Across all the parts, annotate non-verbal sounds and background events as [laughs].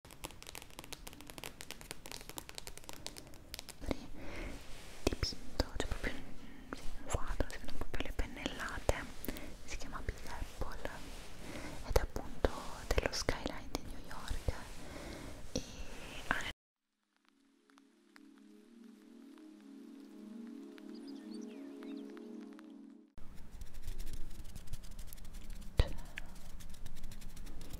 dipinto, c'è cioè proprio un, un quadro, si vedono proprio le pennellate, si chiama Big Apple ed è appunto dello skyline di New York e ah,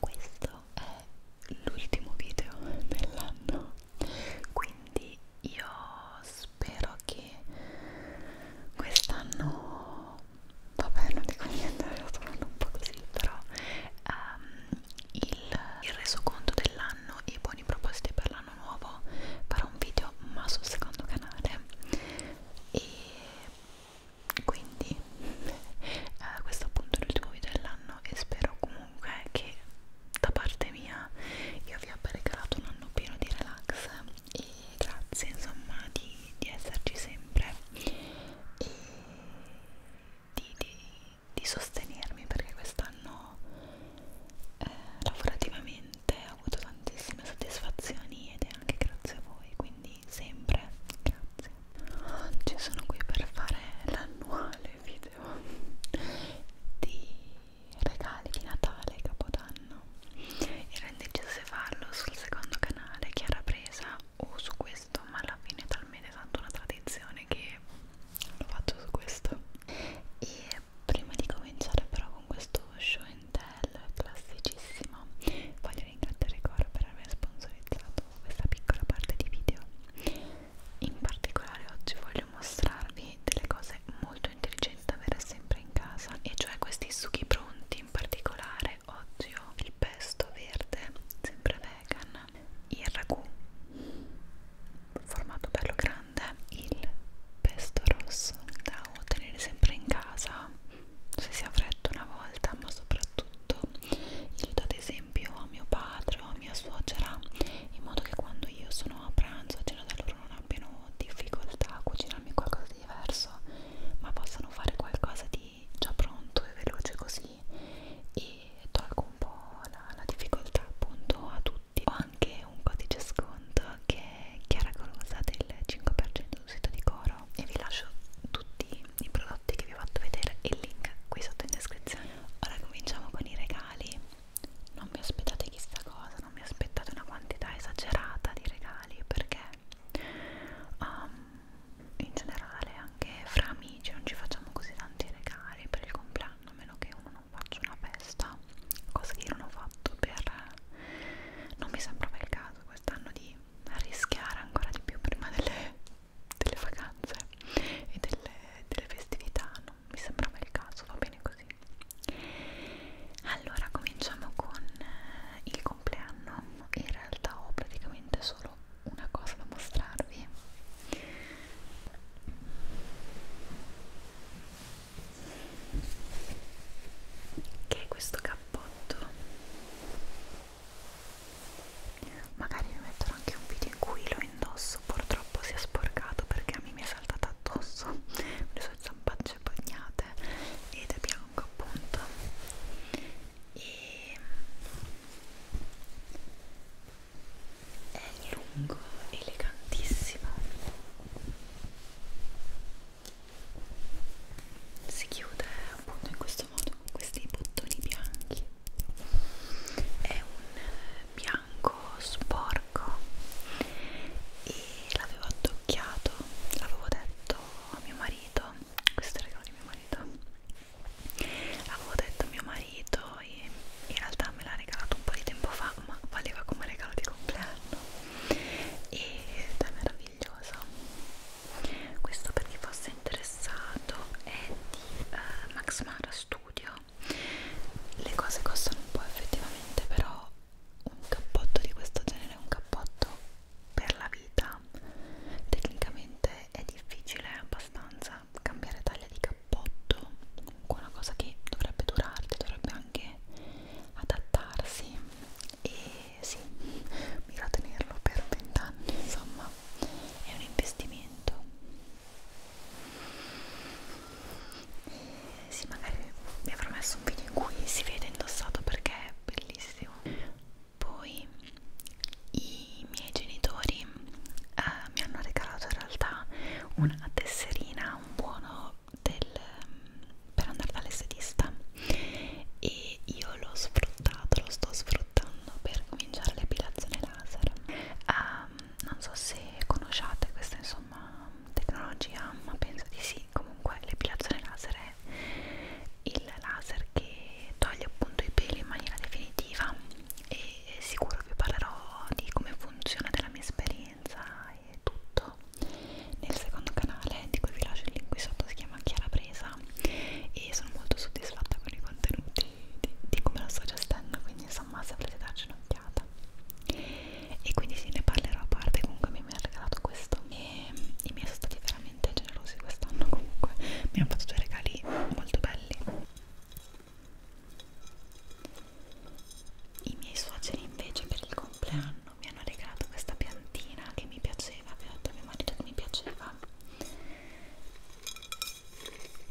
questo è l'ultimo video dell'anno quindi io spero che quest'anno vabbè non dico niente è stato un po' così però um, il, il resoconto dell'anno e i buoni propositi per l'anno nuovo farò un video ma sul secondo canale e quindi eh, questo appunto è l'ultimo video dell'anno e spero comunque che da parte mia io vi abbia regalato un anno pieno di relax e grazie insomma di, di esserci sempre e di, di, di sostenermi perché quest'anno eh, lavorativamente ho avuto tantissime soddisfazioni ed è anche grazie a voi quindi qui sempre, grazie. Oggi sono qui per fare l'annuale video di regali di Natale e Capodanno. Ero indecisa se farlo sul secondo canale che era presa o su questo, ma alla fine è talmente tanto una tradizione che lo faccio su questo. E prima di cominciare però con questo show and tell classicissimo voglio ringraziare Coro per aver sponsorizzato questa piccola parte di video in particolare oggi voglio mostrarvi delle cose molto intelligenti da avere sempre in casa e cioè questi sughi pronti in particolare oggi ho il pesto verde sempre vegan il ragù formato bello grande il pesto rosso da tenere sempre in casa se si ha freddo una volta ma soprattutto io do ad esempio a mio padre o a mia suocera in modo che quando io sono a pranzo a cena da loro non abbiano difficoltà a cucinarmi qualcosa di diverso ma possano fare qualcosa di già pronto e veloce così e tolgo un po' la, la difficoltà appunto a tutti ho anche un codice sconto che è Chiara Colosa del 5% sul sito di Cora euro e vi lascio tutti i prodotti che vi ho fatto vedere e il link qui sotto in descrizione ora cominciamo con i regali non mi aspettate chissà cosa non mi aspettate una quantità esagerata di regali perché um, in generale anche fra amici non ci facciamo così tanti regali per il compleanno a meno che uno non faccia una festa cosa che io non ho fatto per non mi sembrava il caso quest'anno di rischiare ancora di più prima delle delle vacanze e delle, delle festività, non mi sembrava il caso, va bene così. Allora cominciamo con eh, il compleanno, in realtà ho praticamente solo una cosa da mostrarvi. Che è questo cappotto magari vi metterò anche un video in cui lo indosso purtroppo si è sporcato perché a me mi è saltata addosso le sue zampacce bagnate ed è bianco appunto e è lungo, elegantissimo si chiude appunto in questo modo con questi bottoni bianchi è un bianco sporco e l'avevo addocchiato, l'avevo detto a mio marito, questo è il regalo di mio marito, l'avevo detto a mio marito e in realtà me l'ha regalato un po' di tempo fa ma valeva come regalo di compleanno ed è meraviglioso questo per chi fosse interessato è di uh, Max Mara Studio le cose costano un po' effettivamente però un cappotto di questo genere è un cappotto per la vita tecnicamente è difficile abbastanza cambiare taglia di cappotto comunque una cosa che dovrebbe durarti dovrebbe anche adattarsi e sì [laughs] mira tenerlo per vent'anni insomma è un investimento eh, sì magari vi avrò messo un video in cui si vede indossato perché è bellissimo poi i miei genitori eh, mi hanno regalato in realtà una tesserina un buono del, mm, per andare dall'estetista e io l'ho sfruttato, lo sto sfruttando sfruttando per cominciare l'epilazione laser um, non so se conosciate questa insomma tecnologia ma penso di sì comunque l'epilazione laser è il laser che toglie appunto i peli in maniera definitiva e sicuro vi parlerò di come funziona della mia esperienza e tutto nel secondo canale di cui vi lascio il link qui sotto si chiama Chiara Presa e sono molto soddisfatta con i contenuti di, di come la sto gestendo quindi insomma se volete darci un'occhiata e quindi sì ne parlerò a parte comunque mi ha regalato questo e i miei sono stati veramente generosi quest'anno comunque mi hanno fatto due regali molto belli i miei suoceri invece per il compleanno mi hanno regalato questa piantina che mi piaceva, avevo detto a mio marito che mi piaceva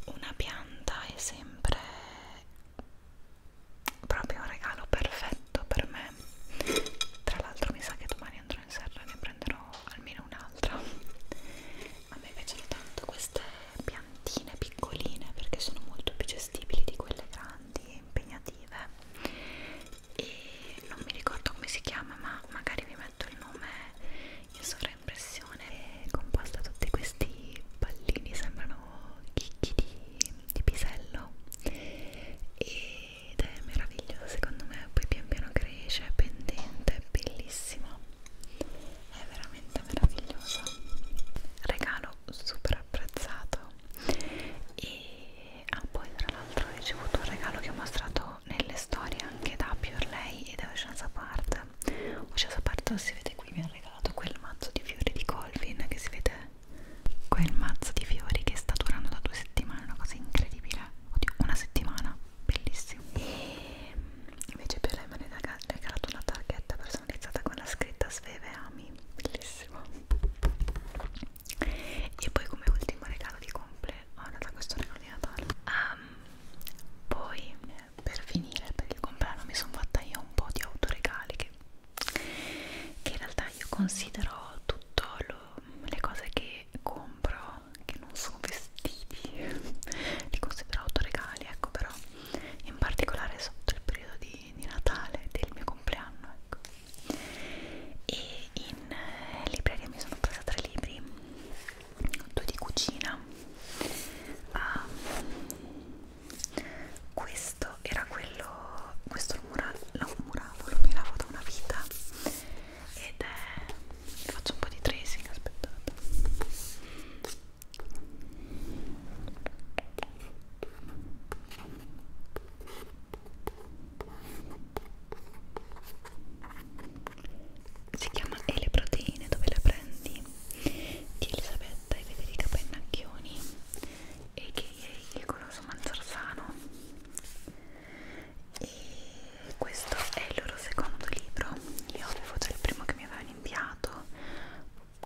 una pianta è sempre proprio un regalo perfetto per me tra l'altro mi sa che domani andrò in serra e ne prenderò almeno un'altra a me piacciono tanto queste piantine piccoline perché sono molto più gestibili di quelle grandi e impegnative e non mi ricordo come si chiama ma magari vi metto il nome in sovraimpressione è composta da tutti questi pallini, sembrano chicchi di, di pisello ed è meraviglioso secondo me, poi pian piano cresce, è pendente, è bellissimo, è veramente meraviglioso, regalo super apprezzato e ah, poi tra l'altro ho ricevuto un regalo che ho mostrato trovo nelle storie anche da Pure Lei e da Ocean's Apart Ocean's Apart si vede qui, mi ha regalato quel mazzo di fiori di Colvin che si vede quel mazzo di fiori che sta durando da due settimane una cosa incredibile oddio, una settimana, bellissimo e invece Pure Lei mi ha regalato una targhetta personalizzata con la scritta Sveve Ami bellissimo e poi come ultimo regalo di compleanno, oh, questo regalo di Natale um, poi per finire per il compleanno mi sono fatta io un po' di autoregali che, che in realtà io considero tutto lo, le cose che compro che non sono vestiti li considero autoregali ecco però in particolare sotto il periodo di, di Natale del mio compleanno ecco e in eh, libreria mi sono presa tre libri due di cucina ah, questo era quello questo lo muravo lo miravo da una vita ed è faccio un po' di tracing aspettate si chiama E le proteine dove le prendi di Elisabetta e Federica Pennacchioni e che è il coloso Manzarsano e questo è il loro secondo libro io avevo già il primo che mi avevano inviato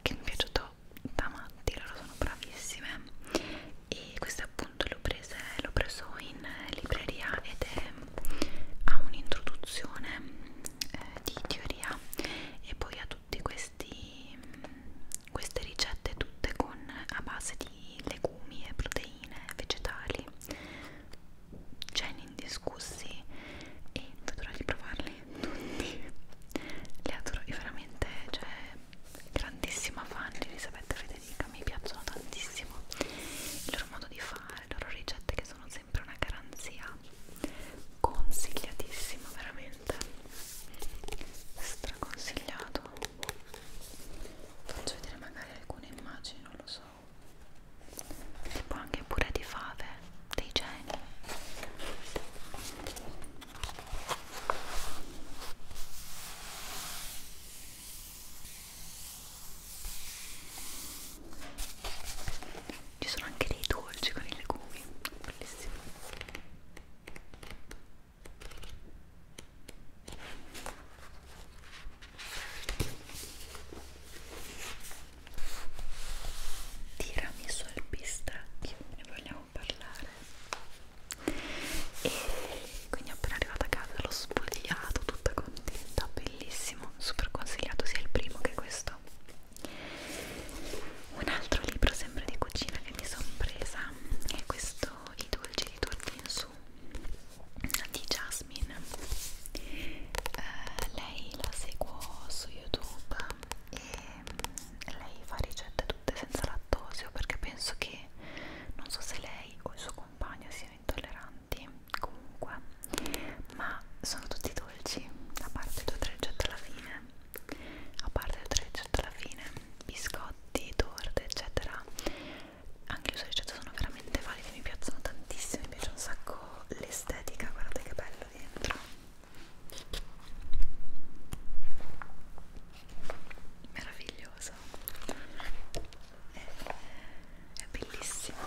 che mi è piaciuto da matti loro sono bravissime e questo appunto l'ho preso in libreria ed è, ha un'introduzione eh, di teoria e poi ha tutti questi queste ricette tutte con a base di legumi e proteine vegetali ceni indiscussi e vedrò di provarli tutti li adoro io veramente cioè grandissima fan di Elisabetta Federica mi piacciono tantissimo il loro modo di fare le loro ricette che sono sono sempre una garanzia consigliatissimo veramente straconsigliato faccio vedere magari alcune immagini non lo so tipo anche pure di fave dei geni ci sono anche dei dolci con i legumi, bellissimo. Tiramisù al pistacchio, ne vogliamo parlare. E quindi appena arrivata a casa l'ho spogliato tutta contenta, bene bellissimo, super consigliato sia il primo che questo. Un altro libro sempre di cucina che mi sono presa è questo I dolci di torta in su di Jasmine. Uh, lei la seguo su YouTube e lei fa ricette tutte senza lattosio perché penso che non so se lei o il suo compagno siano intolleranti comunque ma sono tutti dolci a parte il dolcetto alla fine a parte il dolcetto alla fine biscotti, torte eccetera anche le sue ricette sono veramente valide mi piacciono tantissimo mi piace un sacco l'estetica guardate che bello dentro meraviglioso è bellissimo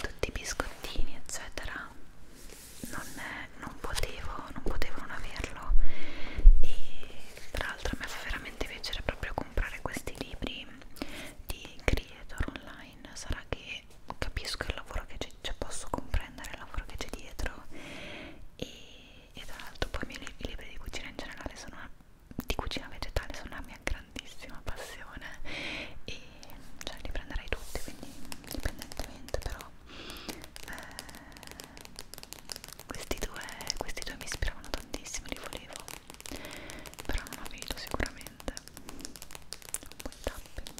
tutti i biscottini eccetera non, è, non potevo non potevo non averlo e tra l'altro mi fa veramente piacere proprio comprare questi libri di creator online sarà che capisco il lavoro che c'è cioè posso comprendere il lavoro che c'è dietro e, e tra l'altro poi i miei i libri di cucina in generale sono una, di cucina vegetale sono una mia grandissima passione e cioè li prenderei tutti quindi indipendentemente però eh, questi, due, questi due mi ispiravano tantissimo li volevo però non avevo sicuramente un po' di tapping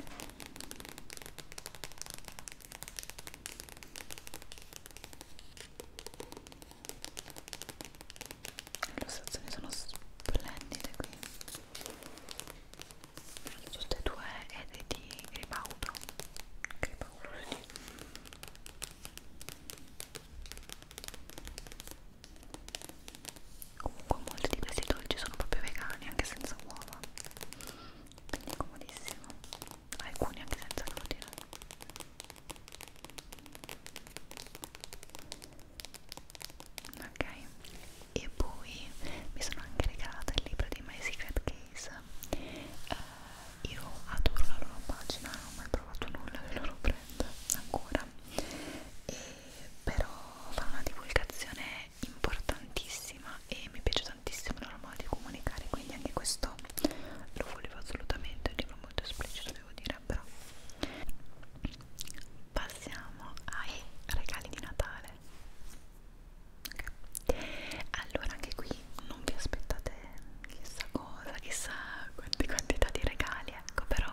le illustrazioni sono splendide qui sono tutte e due ed è di Gripaudo Gripaudo sì. comunque molti di questi dolci sono proprio vegani anche senza uova quindi è comodissimo alcuni anche senza glutine ok e poi mi sono anche regalata il libro di My Secret Case uh, io adoro la loro pagina non ho mai provato nulla del loro brand ancora e però fa una divulgazione importantissima e mi piace tantissimo il loro modo di comunicare quindi anche questo lo volevo assolutamente, è un libro molto esplicito devo dire piacerebbero passiamo ai regali di Natale okay. allora anche qui non vi aspettate chissà cosa chissà quante quantità di regali ecco però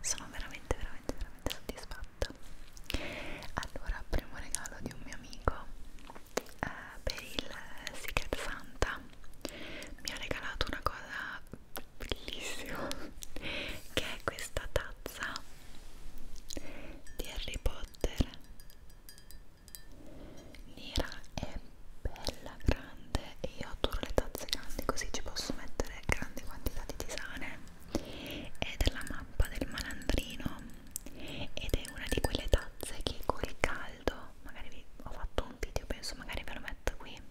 sono veramente veramente veramente soddisfatta allora primo regalo di un mio amico eh, per il Secret Santa mi ha regalato una cosa bellissimo che è questa tazza di Harry Potter nera è bella grande e io adoro le tazze grandi così ci posso mettere grandi quantità di tisane è della mappa del malandrino ed è una di quelle tazze che col caldo magari vi ho fatto un video penso magari ve lo metto qui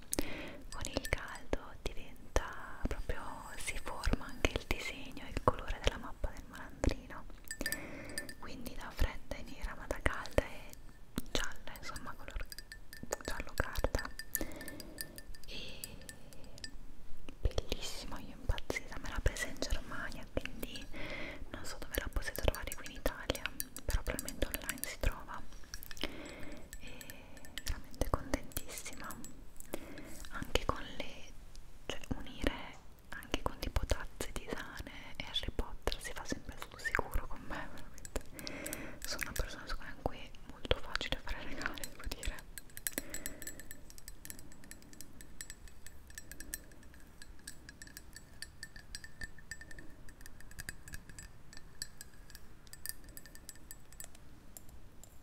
con il caldo diventa proprio si forma anche il disegno e il colore della mappa del malandrino quindi la fredda è nera ma da calda è gialla insomma color giallo carta e bellissima io impazzita me l'ha presa in Germania quindi non so dove la potete trovare qui in Italia però probabilmente online si trova e veramente contentissima anche con le cioè unire anche con tipo tazze di sane e Harry Potter si fa sempre sul sicuro con me veramente sono una persona su cui è molto facile fare regali devo dire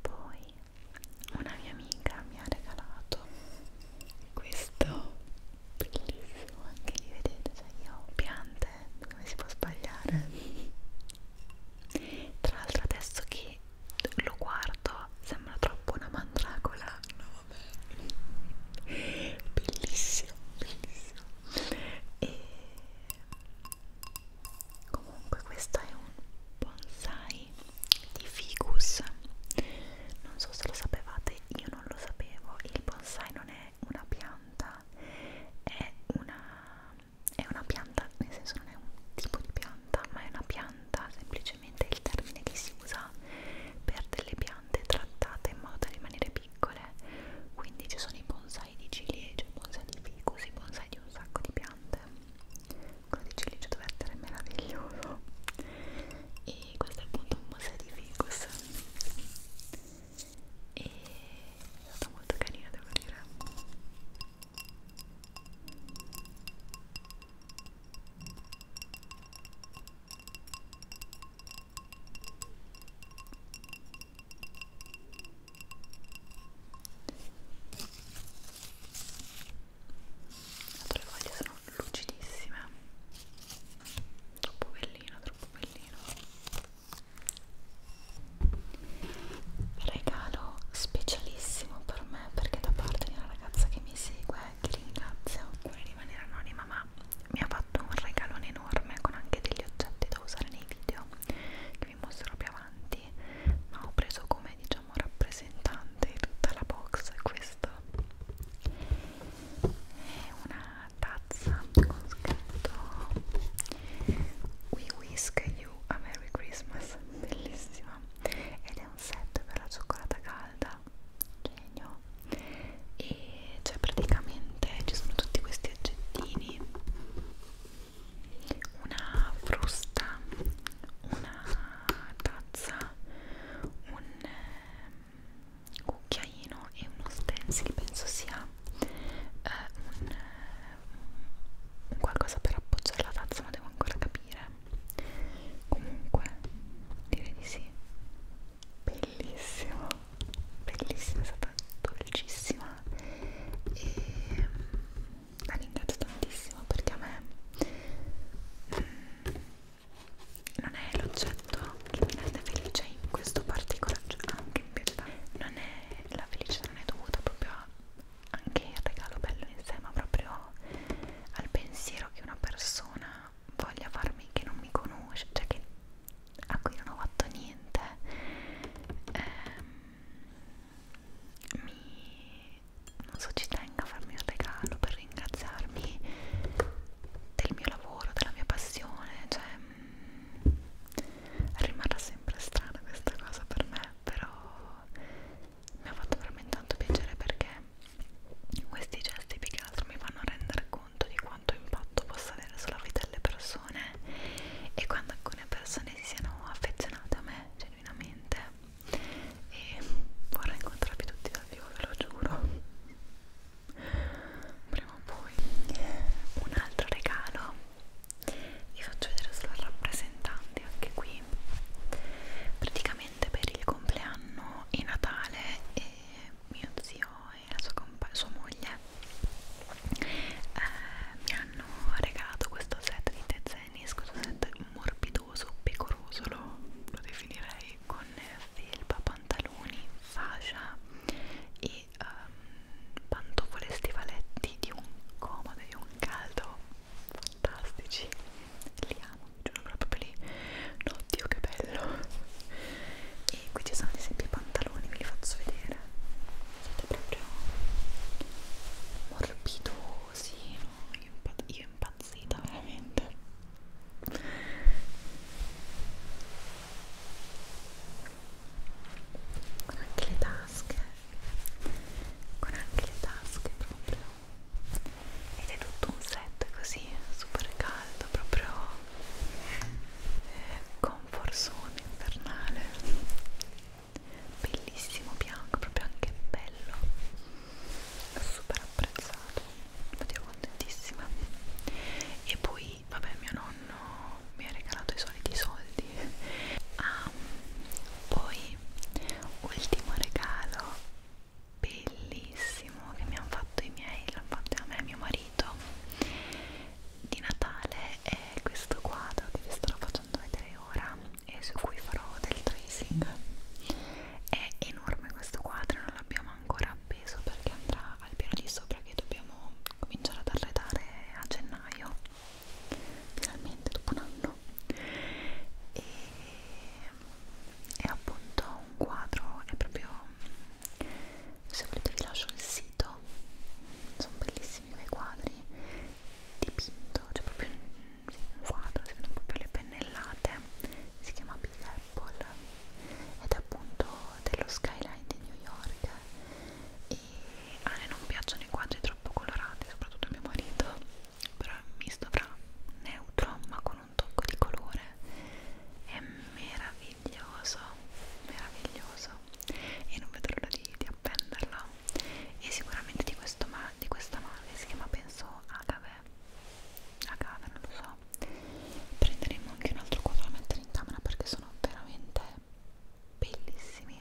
Poi una mia amica mi ha regalato questo bellissimo, anche lì vedete, cioè io ho piante, come si può sbagliare? Tra l'altro adesso che lo guardo sembra troppo una mandragola, no vabbè, bellissimo, bellissimo e comunque questo è un bonsai di ficus non so se lo sapevate io non lo sapevo il bonsai non è una pianta è una, è una pianta nel senso non è un tipo di pianta ma è una pianta semplicemente il termine che si usa per delle piante trattate in modo da rimanere più piccole quindi ci sono i bonsai di ciliegie, i bonsai di ficus, i bonsai di un sacco di piante quello di ciliegie deve essere meraviglioso e questo è appunto un bonsai di ficus e è stato molto carino devo dire le foglie sono lucidissime troppo bellino troppo bellino regalo specialissimo per me perché da parte di una ragazza che mi segue che ringrazio vuole rimanere anonima ma ma mi ha fatto un regalone enorme con anche degli oggetti da usare nei video che vi mostrerò più avanti ma ho preso come diciamo rappresentante di tutta la box questo è una tazza con scritto We Whisk You a Merry Christmas bellissima ed è un set per la cioccolata calda genio e cioè praticamente ci sono tutti questi oggettini una frusta una tazza un eh, cucchiaino e uno stencil penso sia eh, un, un qualcosa per appoggiare la tazza ma devo ancora capire comunque direi di sì bellissimo bellissima, è stata dolcissima e mm, la ringrazio tantissimo perché a me mm, non è l'oggetto che mi rende felice in questo particolare, cioè anche ah, in realtà non è la felicità non è dovuta proprio a anche il regalo bello in sé, ma proprio al pensiero che una persona voglia farmi che non mi conosce, cioè che a cui non ho fatto niente ehm, mi non so ci tengo a farmi un regalo per ringraziarmi del mio lavoro, della mia passione cioè mh, mm, rimarrà sempre strana questa cosa per me però mi ha fatto veramente tanto piacere perché questi gesti più che altro mi fanno rendere conto conto di quanto impatto possa avere sulla vita delle persone e quando alcune persone si siano affezionate a me genuinamente e vorrei incontrarvi tutti dal vivo, ve lo giuro prima o poi un altro regalo vi faccio vedere sulla rappresentante anche qui praticamente per il compleanno e Natale e mio zio e la sua, sua moglie eh, mi hanno regalato questo set di tezenis, questo set morbidoso, pecoroso lo, lo definirei, con felpa, pantaloni, fascia e um, pantofole e stivaletti di un comodo, di un caldo fantastici li amo, giuro proprio lì no, Dio che bello e qui ci sono ad esempio i pantaloni ve li faccio vedere siete proprio morbidosi no? io, impa io impazzita veramente con anche le tasche con anche le tasche proprio ed è tutto un set così super caldo proprio eh, con un forsone infernale bellissimo bianco proprio anche bello super apprezzato vado contentissima e poi vabbè mio nonno mi ha regalato i soliti soldi ah, poi ultimo regalo bellissimo che mi hanno fatto i miei l'hanno fatto a me e mio marito di Natale è questo quadro che vi sto facendo vedere ora e su cui farò del tracing è enorme questo quadro non l'abbiamo ancora appeso perché andrà al piano di sopra che dobbiamo cominciare ad arredare a gennaio finalmente dopo un anno e è appunto un quadro è proprio se volete vi lascio il sito sono bellissimi quei quadri dipinto c'è cioè proprio un, un quadro si vedono proprio le pennellate si chiama Big Apple ed è appunto dello skyline di New York e a me non piacciono i quadri troppo colorati soprattutto a mio marito però è un misto fra neutro ma con un tocco di colore è meraviglioso meraviglioso, meraviglioso e non vedo l'ora di, di appenderla e sicuramente di, questo ma di questa marca si chiama penso Agave Agave non lo so prenderemo anche un altro quadro da mettere in camera perché sono veramente bellissimi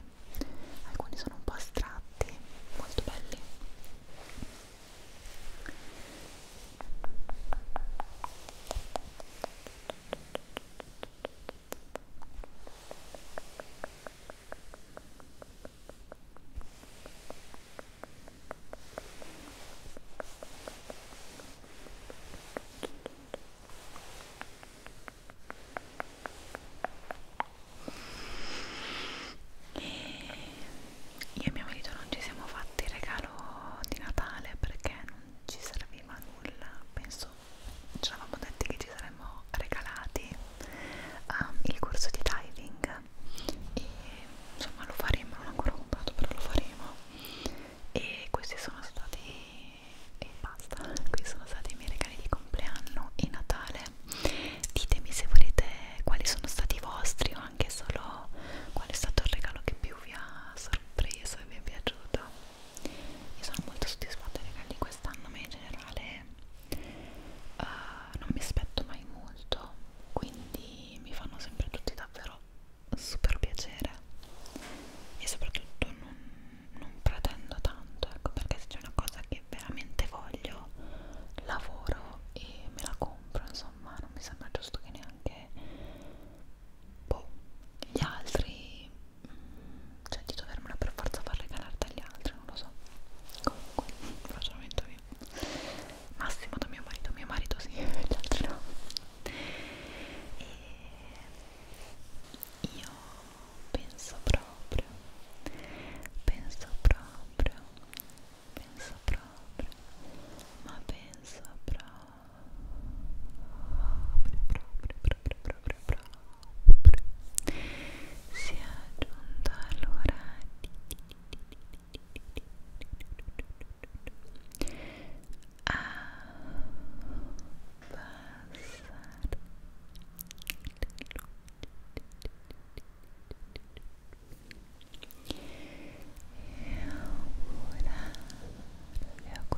alcuni sono un po' astratti molto belli e io e mio marito non ci siamo fatti il regalo di Natale perché non non ci serviva nulla, penso ci eravamo detti che ci saremmo regalati um, il corso di diving e insomma lo faremo, non ho ancora comprato però lo faremo e questi sono stati e basta, questi sono stati i miei regali di compleanno e Natale ditemi se volete quali sono stati i vostri o anche solo qual è stato il regalo che più vi ha sorpreso e vi è piaciuto io sono molto soddisfatta dei regali di quest'anno ma in generale uh, non mi aspetto mai molto quindi mi fanno sempre tutti davvero super piacere e soprattutto non, non pretendo tanto ecco perché se c'è una cosa che veramente voglio lavoro e me la compro insomma non mi sembra giusto che neanche boh, gli altri mm, cioè di dovermela per forza far regalare agli altri non lo so comunque un ragionamento mio massimo da mio marito mio marito sì [laughs] gli altri no e io penso proprio penso proprio penso proprio ma penso proprio proprio, proprio, proprio, proprio si è giunto all'ora a passare e augurare, augurate, augurate, augurate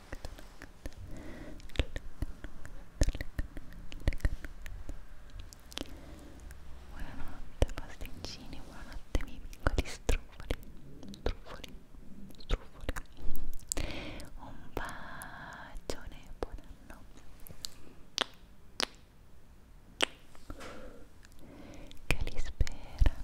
Buonanotte pasticcini, buonanotte miei piccoli struffoli, struffoli, struffoli. Un bacione, buon anno. Che li spera.